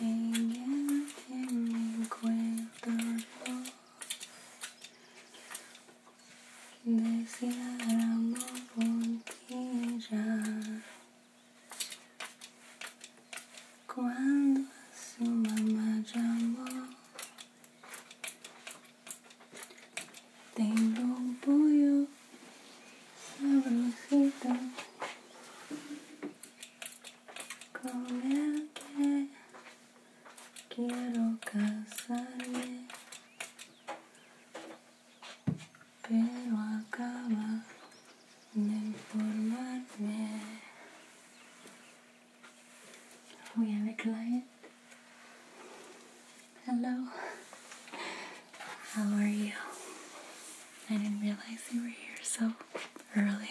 Ella que me encuentro decía Ramo Pontilla cuando a su mamá llamó tengo un pollo sabrosito comerte, quiero casarme, pero acaba de informarme. We have a client. Hello, how are you? I didn't realize you were here so early.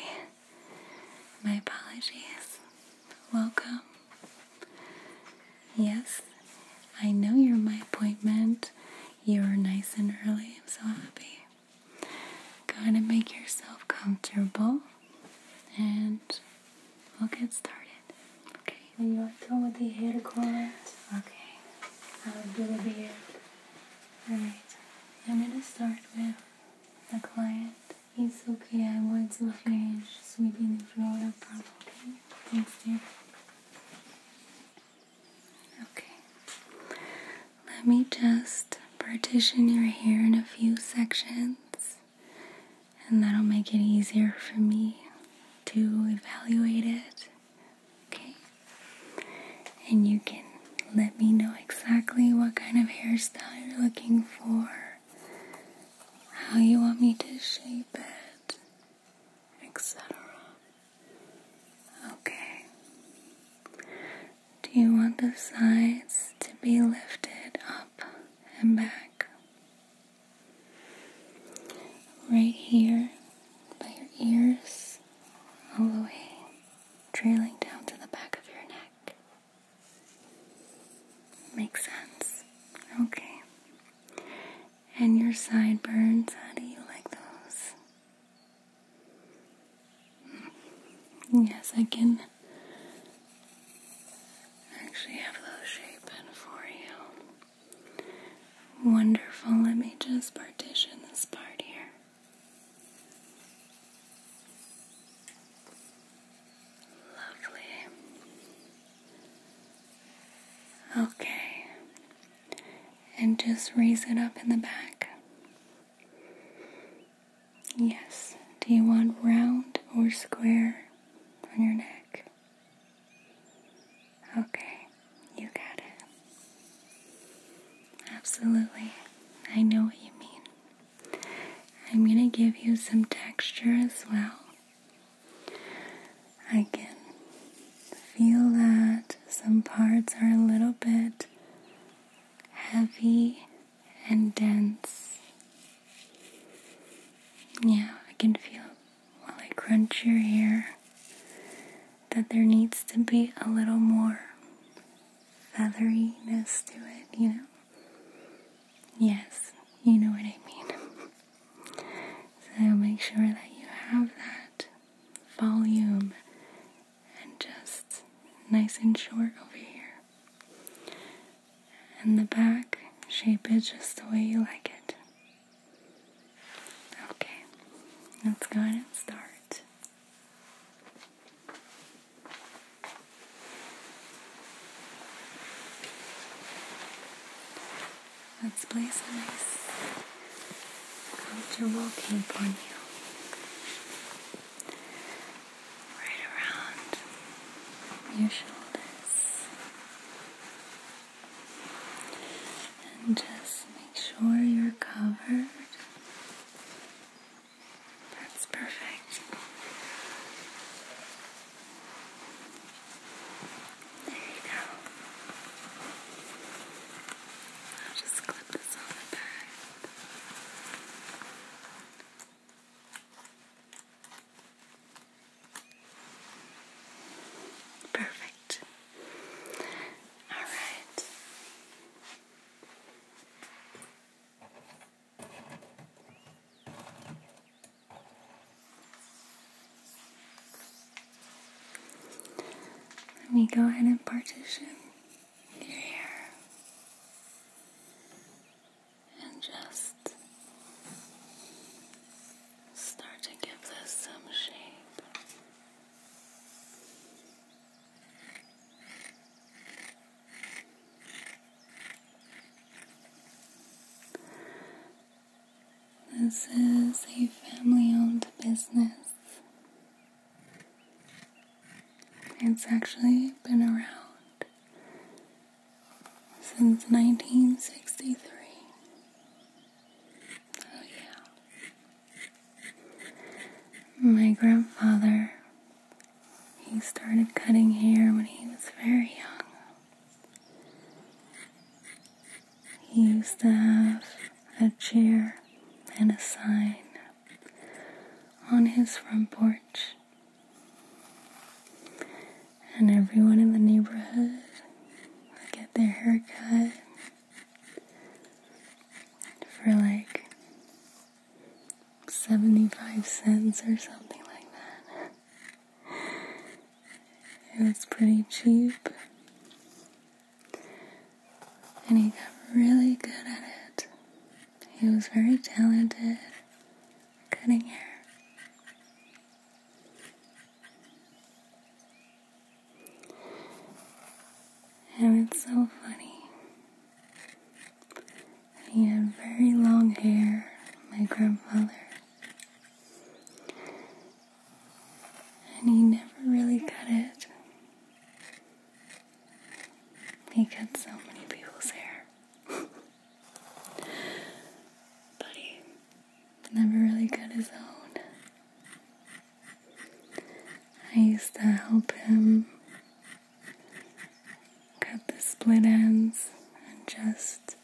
My apologies. Welcome. Yes, I know you're my appointment. you were nice and early. I'm so happy. Go to make yourself comfortable and we'll get started. Okay. And you are done with the hair color? Okay. I'll do the beard. Alright, I'm gonna start with the client. It's okay, I want to finish sweeping the floor up properly. Thanks, dear. Okay. Let me just partition your hair in a few sections, and that'll make it easier for me to evaluate it okay? And you can let me know exactly what kind of hairstyle you're looking for, how you want me to shape it, etc. Okay. Do you want the sides to be lifted up and back? Right here by your ears, all the way trailing down to the back of your neck. Makes sense. Okay. And your sideburns, how do you like those? Hmm. Yes, I can actually have those shapen for you. Wonderful. Let me just partition this part here. Lovely. Okay. And just raise it up in the back. Yes. Do you want round or square on your neck? Okay, you got it. Absolutely, I know what you mean. I'm gonna give you some texture as well. I can feel that some parts are a little bit heavy and dense. Yeah, I can feel while I crunch your hair that there needs to be a little more featheriness to it, you know? Yes, you know what I mean. so make sure that you have that volume and just nice and short over here. And the back, shape it just the way you like it. Okay, let's go ahead and start. Let's place a nice, comfortable cape on you. Right around your shoulders. And just make sure you're covered. That's perfect. There you go. just clip this on the back. Perfect. All right. Let me go ahead and partition your hair and just start to give this some shape this is a family owned business. It's actually been around since 1963. Oh, yeah. My grandfather, he started cutting hair when he was very young. He used to have a chair and a sign on his front porch. And everyone in the neighborhood would get their hair cut for like 75 cents or something like that. It was pretty cheap. And he got really good at it. He was very talented cutting hair. And it's so funny. He had very long hair, my grandfather. And he never really cut it. He cut so many people's hair. but he never really cut his own. I used to help him cut the split ends and just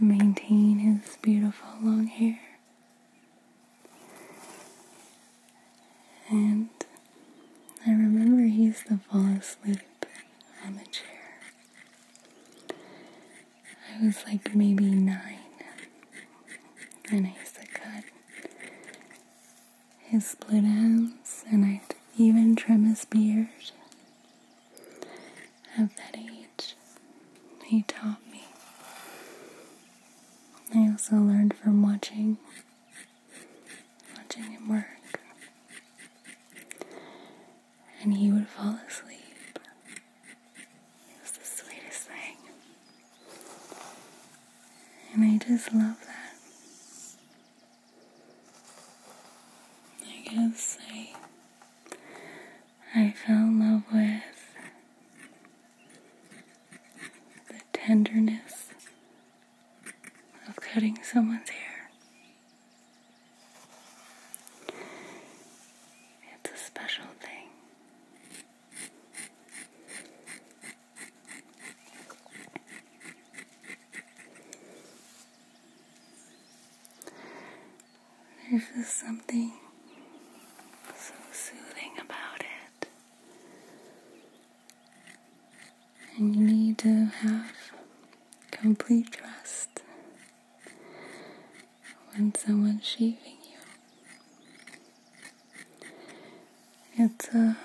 maintain his beautiful long hair. And I remember he used to fall asleep on the chair. I was like maybe nine, and I used to cut his split ends, and I'd even trim his beard. At that age, he taught me. I also learned from watching, watching him work. And he would fall asleep it the sweetest thing. And I just love that. I guess I, I fell in love with the tenderness of cutting someone's hair. It's a special thing. There's just something so soothing about it. And you need to have complete trust when someone's shaving you. It's a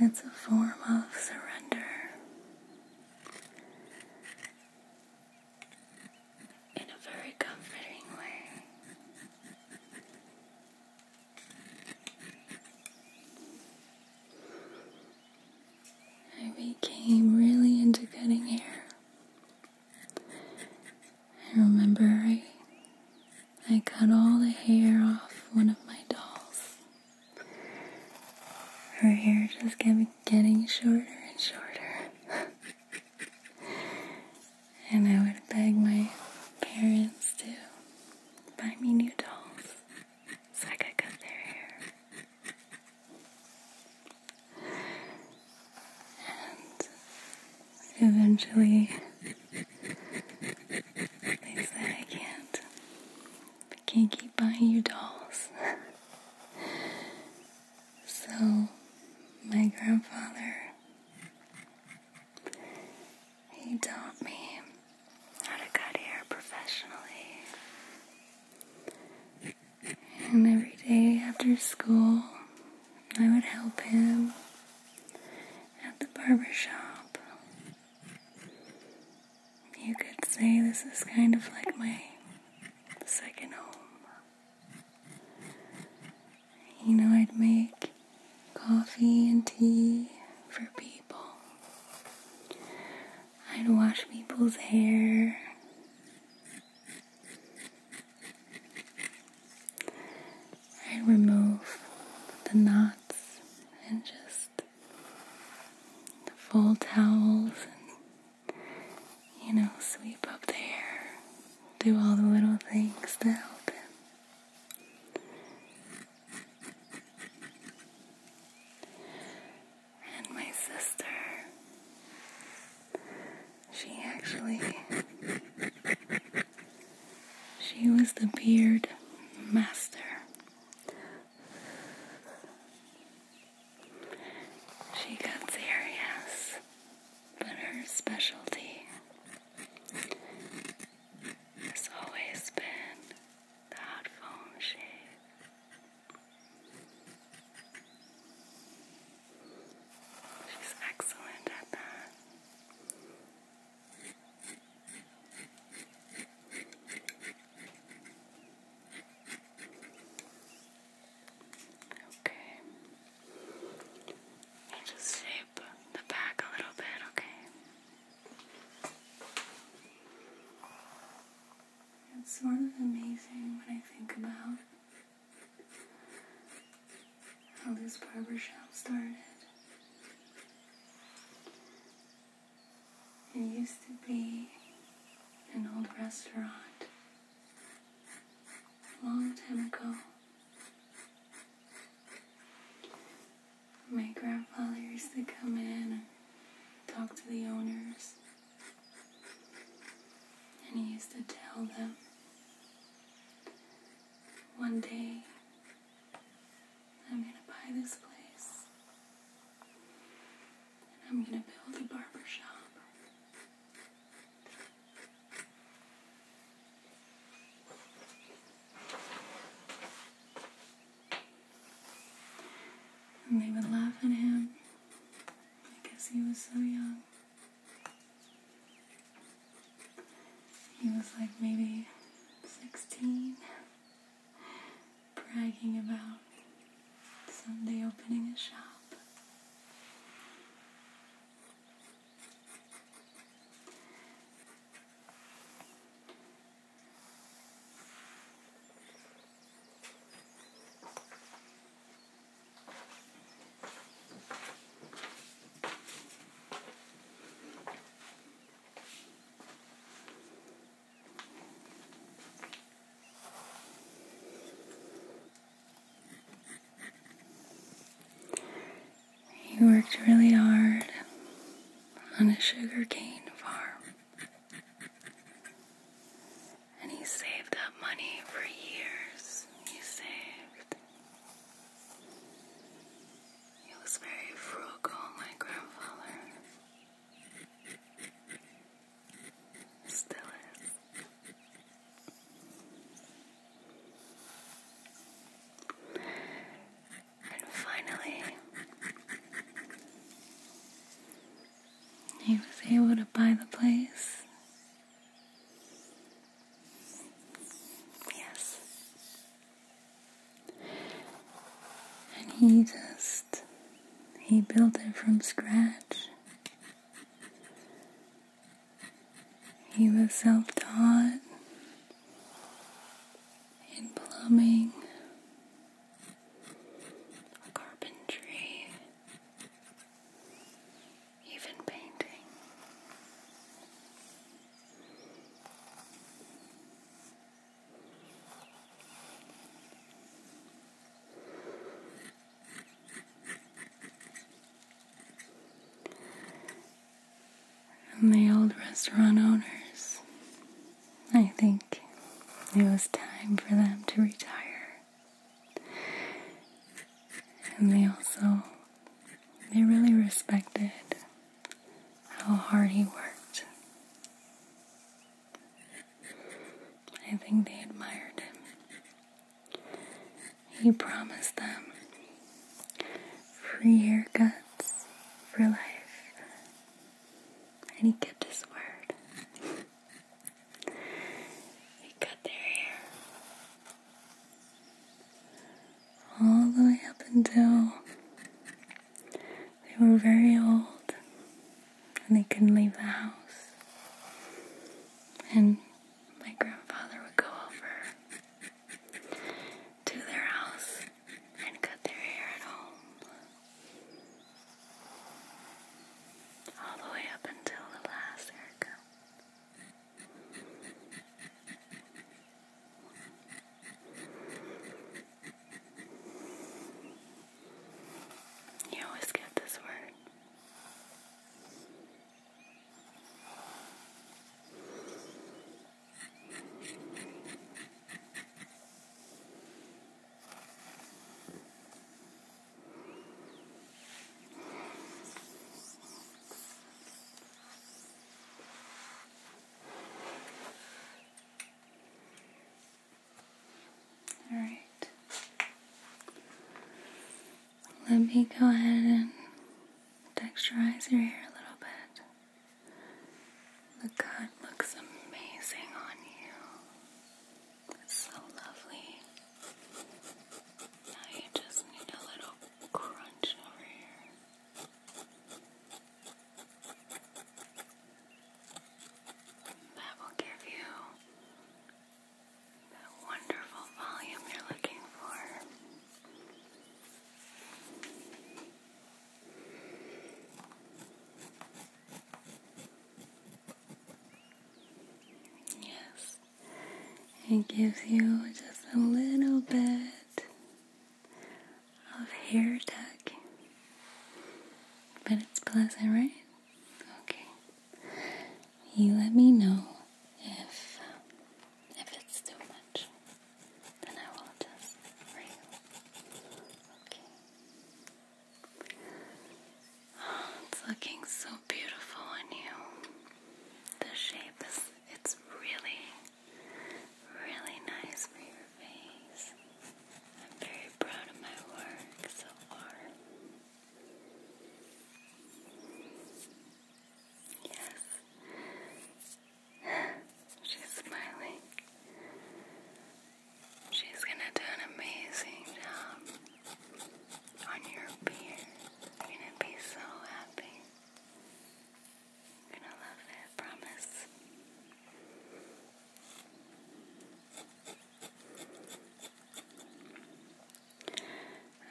it's a form of surrender. In a very comforting way. I became really into cutting hair I remember, I cut all the hair off one of my dolls. Her hair just kept getting shorter and shorter. and I would beg my parents to buy me new dolls so I could cut their hair. And eventually, they said, I can't. I can't keep buying you dolls. so, my grandfather, he taught me how to cut hair professionally. And every day after school, I would help him at the barber shop. You could say this is kind of like my second home. You know, I'd make coffee and tea for people. I'd wash people's hair. I'd remove the knots and just the full towels and, you know, sweep up the hair. Do all the little things to help him and my sister. She actually she was the beard master. She got yes, but her specialty has always been the hot shave. She's excellent at that. Okay. just shape the back a little bit, okay? It's sort of amazing when I think about how this barbershop started. It used to be an old restaurant a long time ago. My grandfather used to come in and talk to the owners. And he used to tell them one day I'm going to buy this place and I'm going to build a barber shop. And they would laugh at him because he was so young. He was like maybe 16, bragging about someday opening a shop. He worked really hard on a sugarcane farm. And he saved that money for years. He saved. He was very frugal, my grandfather. Still is. And finally, he was able to buy the place. Yes. And he just, he built it from scratch. He was self taught in plumbing carpentry, even painting. And the old restaurant owners I think it was time for them to retire. And they also they really respected how hard he worked. I think they admired him. He promised them free haircuts for life. And he kept his word. They cut their hair all the way up until they were very old and they couldn't leave the house. And my grandfather would go over to their house and cut their hair at home all the way up until the last haircut. You always get this word. All right. Let me go ahead and texturize your hair a little bit. The cut looks amazing on you. It's so lovely. Now you just need a little crunch over here. That will give you that wonderful volume you're looking for. Yes, it gives you just a little bit of hair tuck, but it's pleasant, right? Okay, you let me know if if it's too much, then I will adjust for Okay. it's looking so beautiful on you. The shape it's really really nice for your face. I'm very proud of my work so far. Yes. She's smiling. She's gonna do an amazing job on your beard. You're gonna be so happy. You're gonna love it, promise.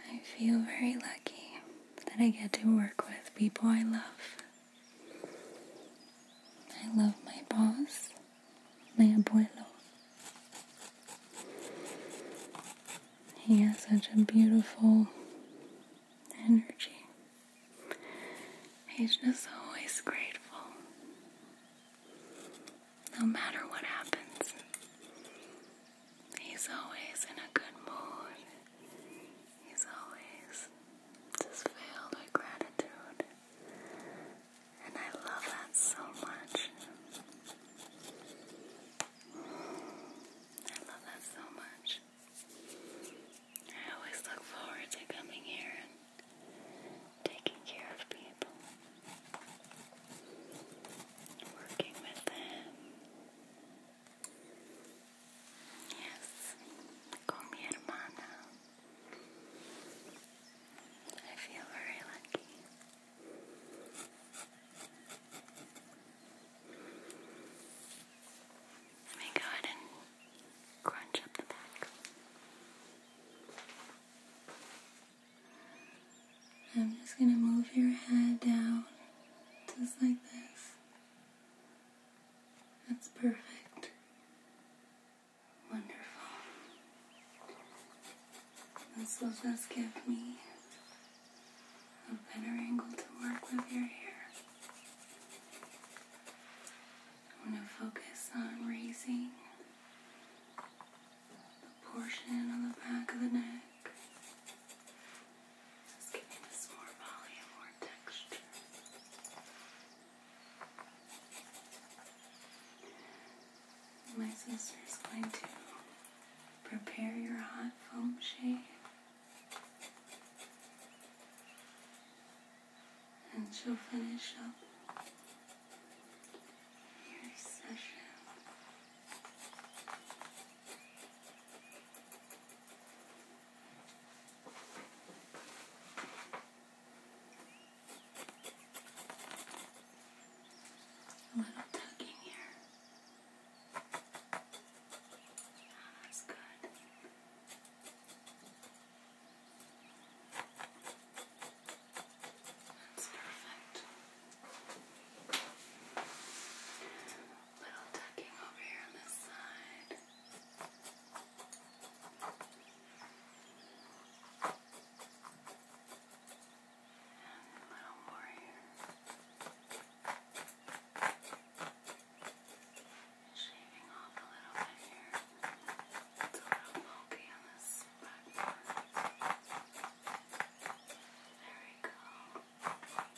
I feel very lucky that I get to work with people I love. I love my boss my abuelo. He has such a beautiful energy. He's just always grateful. No matter what happens, he's always in a good mood. He's always just filled with gratitude and I love that so much. I love that so much. I always look forward to coming here and taking care of people, working with them. Yes, con mi hermana. I feel very lucky. Let me go ahead and crunch up the back. I'm just going to move your head down just like this. That's perfect. Wonderful. This will just give me a better angle to work with your hair. I'm going to focus on raising the portion on the back of the neck. Just giving this more volume, more texture. My sister is going to prepare your hot foam shave and she'll finish up your session. A little tugging here. Oh, that's good. That's perfect. Little tucking over here on this side. And a little more here. Shaving off a little bit here. It's a little pokey on this back There we go. Perfecto.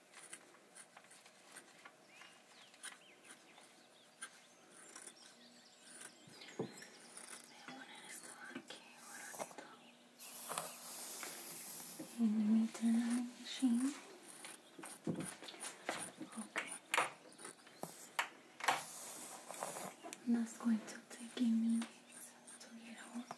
And the meter machine. Okay. that's going to take a minute to get out.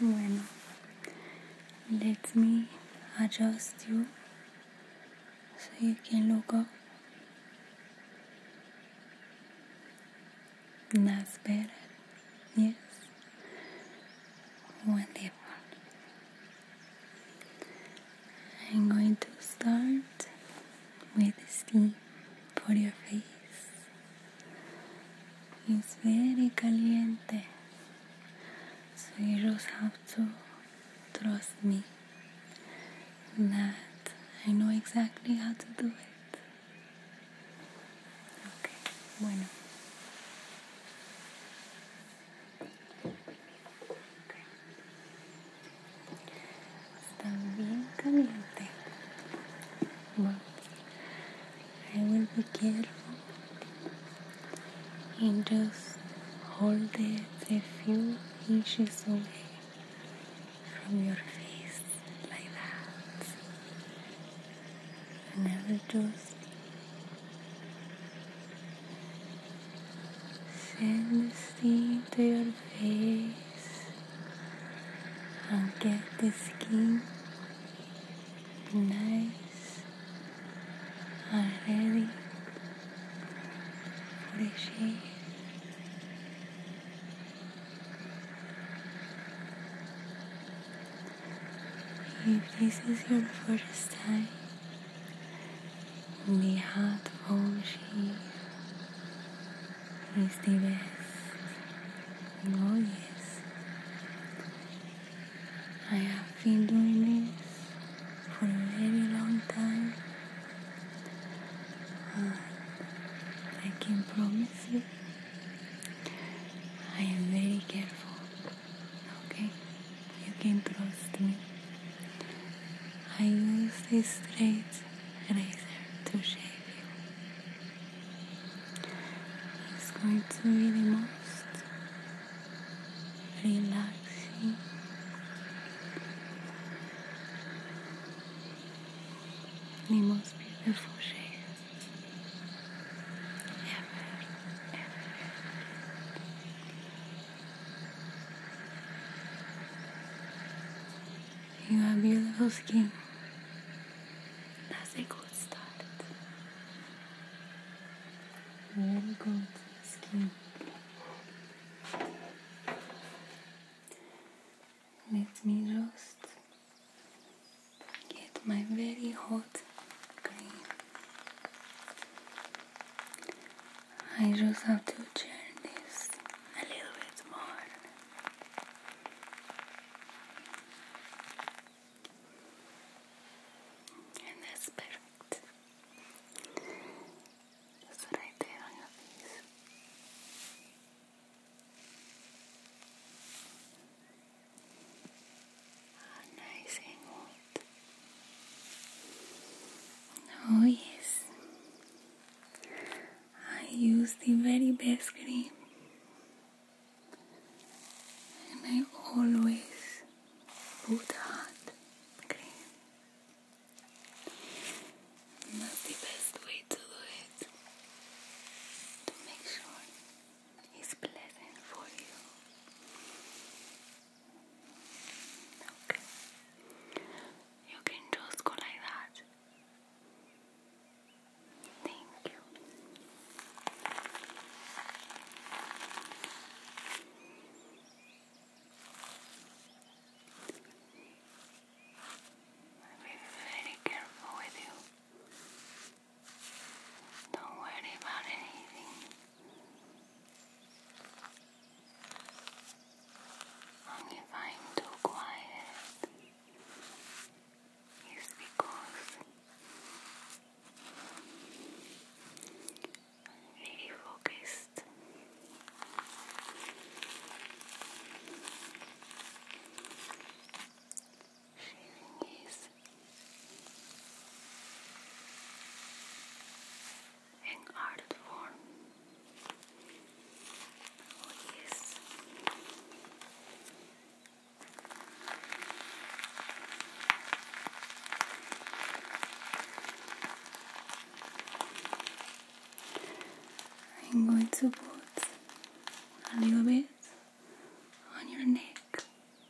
Bueno, let me adjust you so you can look up. That's better. Yes. Wonderful. I'm going to start with the steam for your face. It's very caliente, so you just have to trust me that I know exactly how to do it. Okay, bueno. I will be careful and just hold it a few inches away from your face like that. Never just Send the steam to your face. I'll get the skin nice and ready for the shave. If this is your first time Nihat Vamshi is the Oh yes. I have been doing this for a very long time. I can promise you I am very careful. Okay, you came close to me. I use this straight razor to shave you. It's going to be the most relaxing. The most beautiful shave ever, ever. You have beautiful skin. That's a good start. Very good skin. Let me just get my very hot I just have to turn this a little bit more. And that's perfect. That's right there on your face. Oh, nice and warm. Oh, yes. I use the very best cream. And I always put hot cream. And that's the best way to do it. To make sure it's pleasant for you. Okay. You can just go like that. Thank you. I'll be very careful with you. Don't worry about anything if I'm too quiet is because I'm focused. Sharing is breath in ardent form. Oh, yes. I'm going to put a little bit on your neck.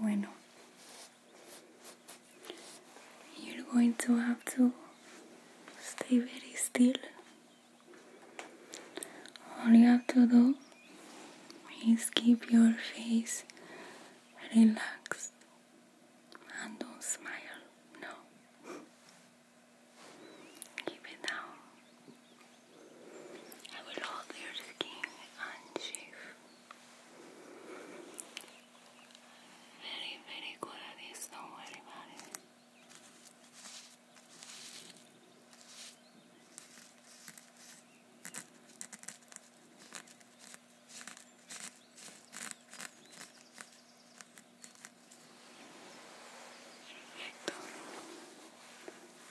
Bueno, you're going to have to stay very still. All you have to do is keep your face relaxed and don't smile. No. Keep it I will hold your skin unshave. Very, very good at this, don't worry about it. Perfecto.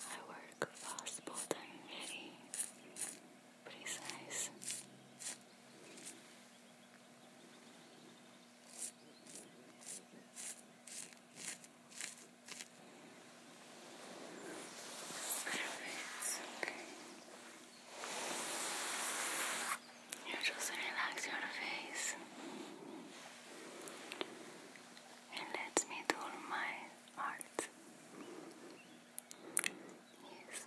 I work fast, but I'm precise. It's okay. You just relax your face. And let me do my art. Yes.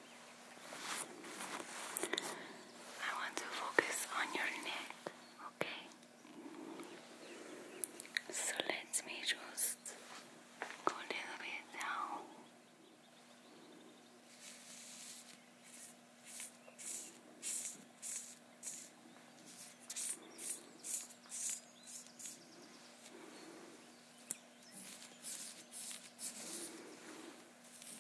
I want to focus on your neck, okay? So let me just go a little bit down.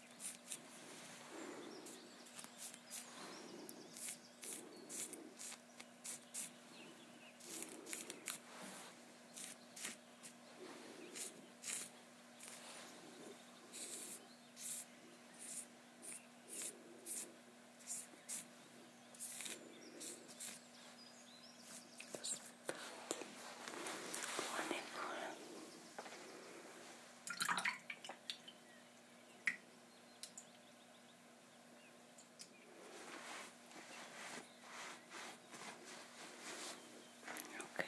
Just like that. One more. Okay,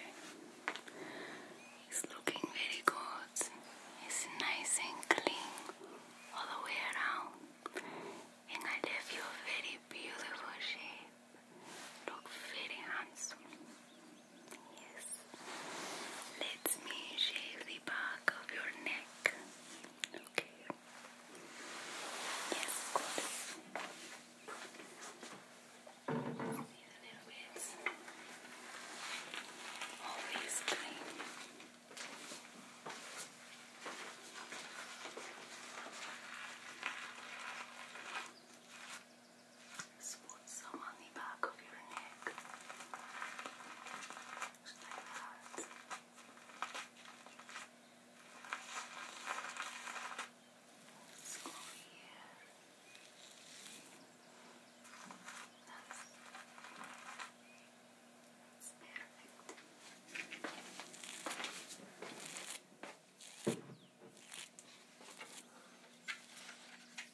it's looking very good. It's nice and clean all the way around, and I left you a very beautiful shape. Look very handsome. Yes. Let me shave the back of your neck. Okay. Yes, good. Always clean. Just some on the back of your neck. Let's go here. That's, perfect.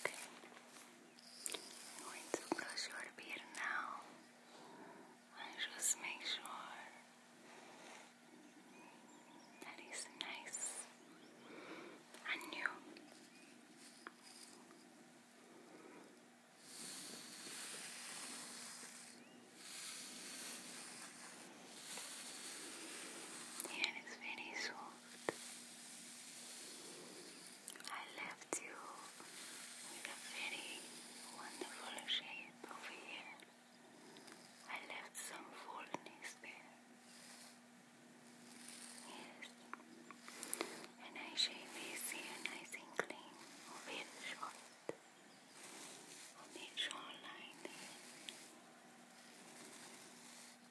Okay. I'm going to brush your beard now. I just make sure that is nice and new. Here is very soft. I left you with a very wonderful shape over here. I left some fullness there. Yes. And I shave easy and nice and clean over your short. On the shoreline there.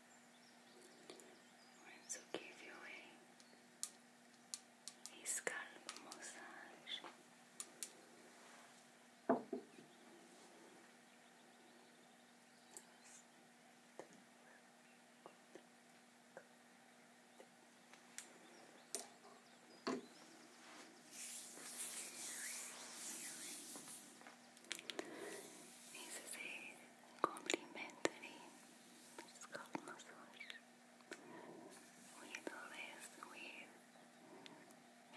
We'll give you a, a scalp massage. This is complimentary it's called We do this with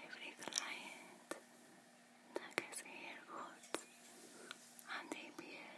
every client that has hair and a beard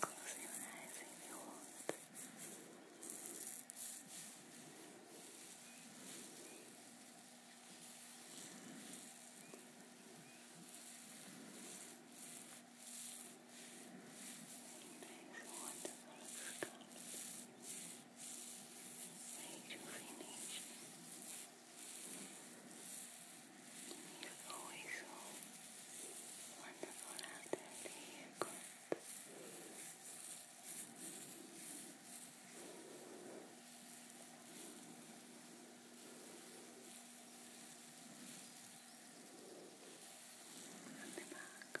Close your eyes if you want. Nice, wonderful scalp. Make you finish. Relax. He's always so wonderful after the haircut. From the back.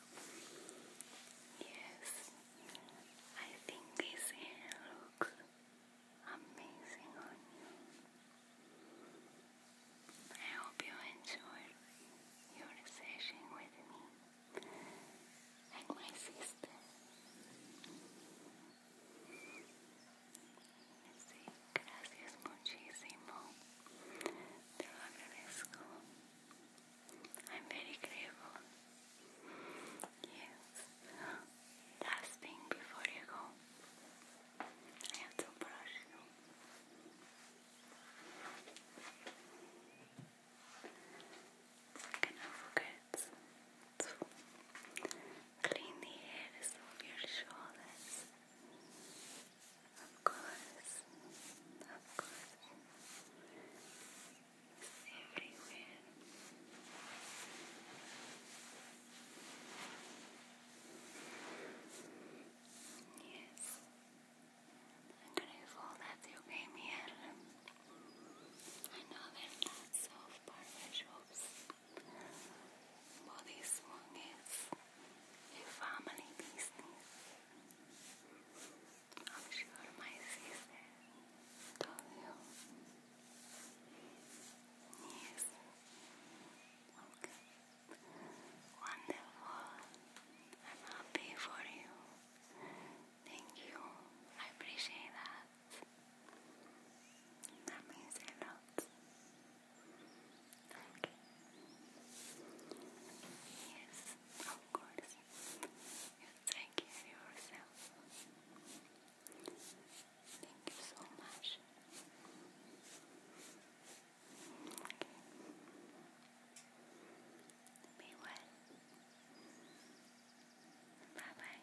Yes, I think this hair looks amazing on you. I hope you enjoyed your session with me and my Sí, gracias muchísimo. Te lo agradezco. I'm very grateful. Yes. Last thing before you go, I have to brush you. I'm forget to clean the hairs of your shoulders. Of course, of course, everywhere. Yes, I'm grateful that you came here. I know there of barber shops, but this family business. I'll show my sister told you. Yes. Wonderful. I'm happy for you. Thank you. I appreciate that. That means Yes of course. You yourself. Thank you so much. Okay. Be well. Bye bye.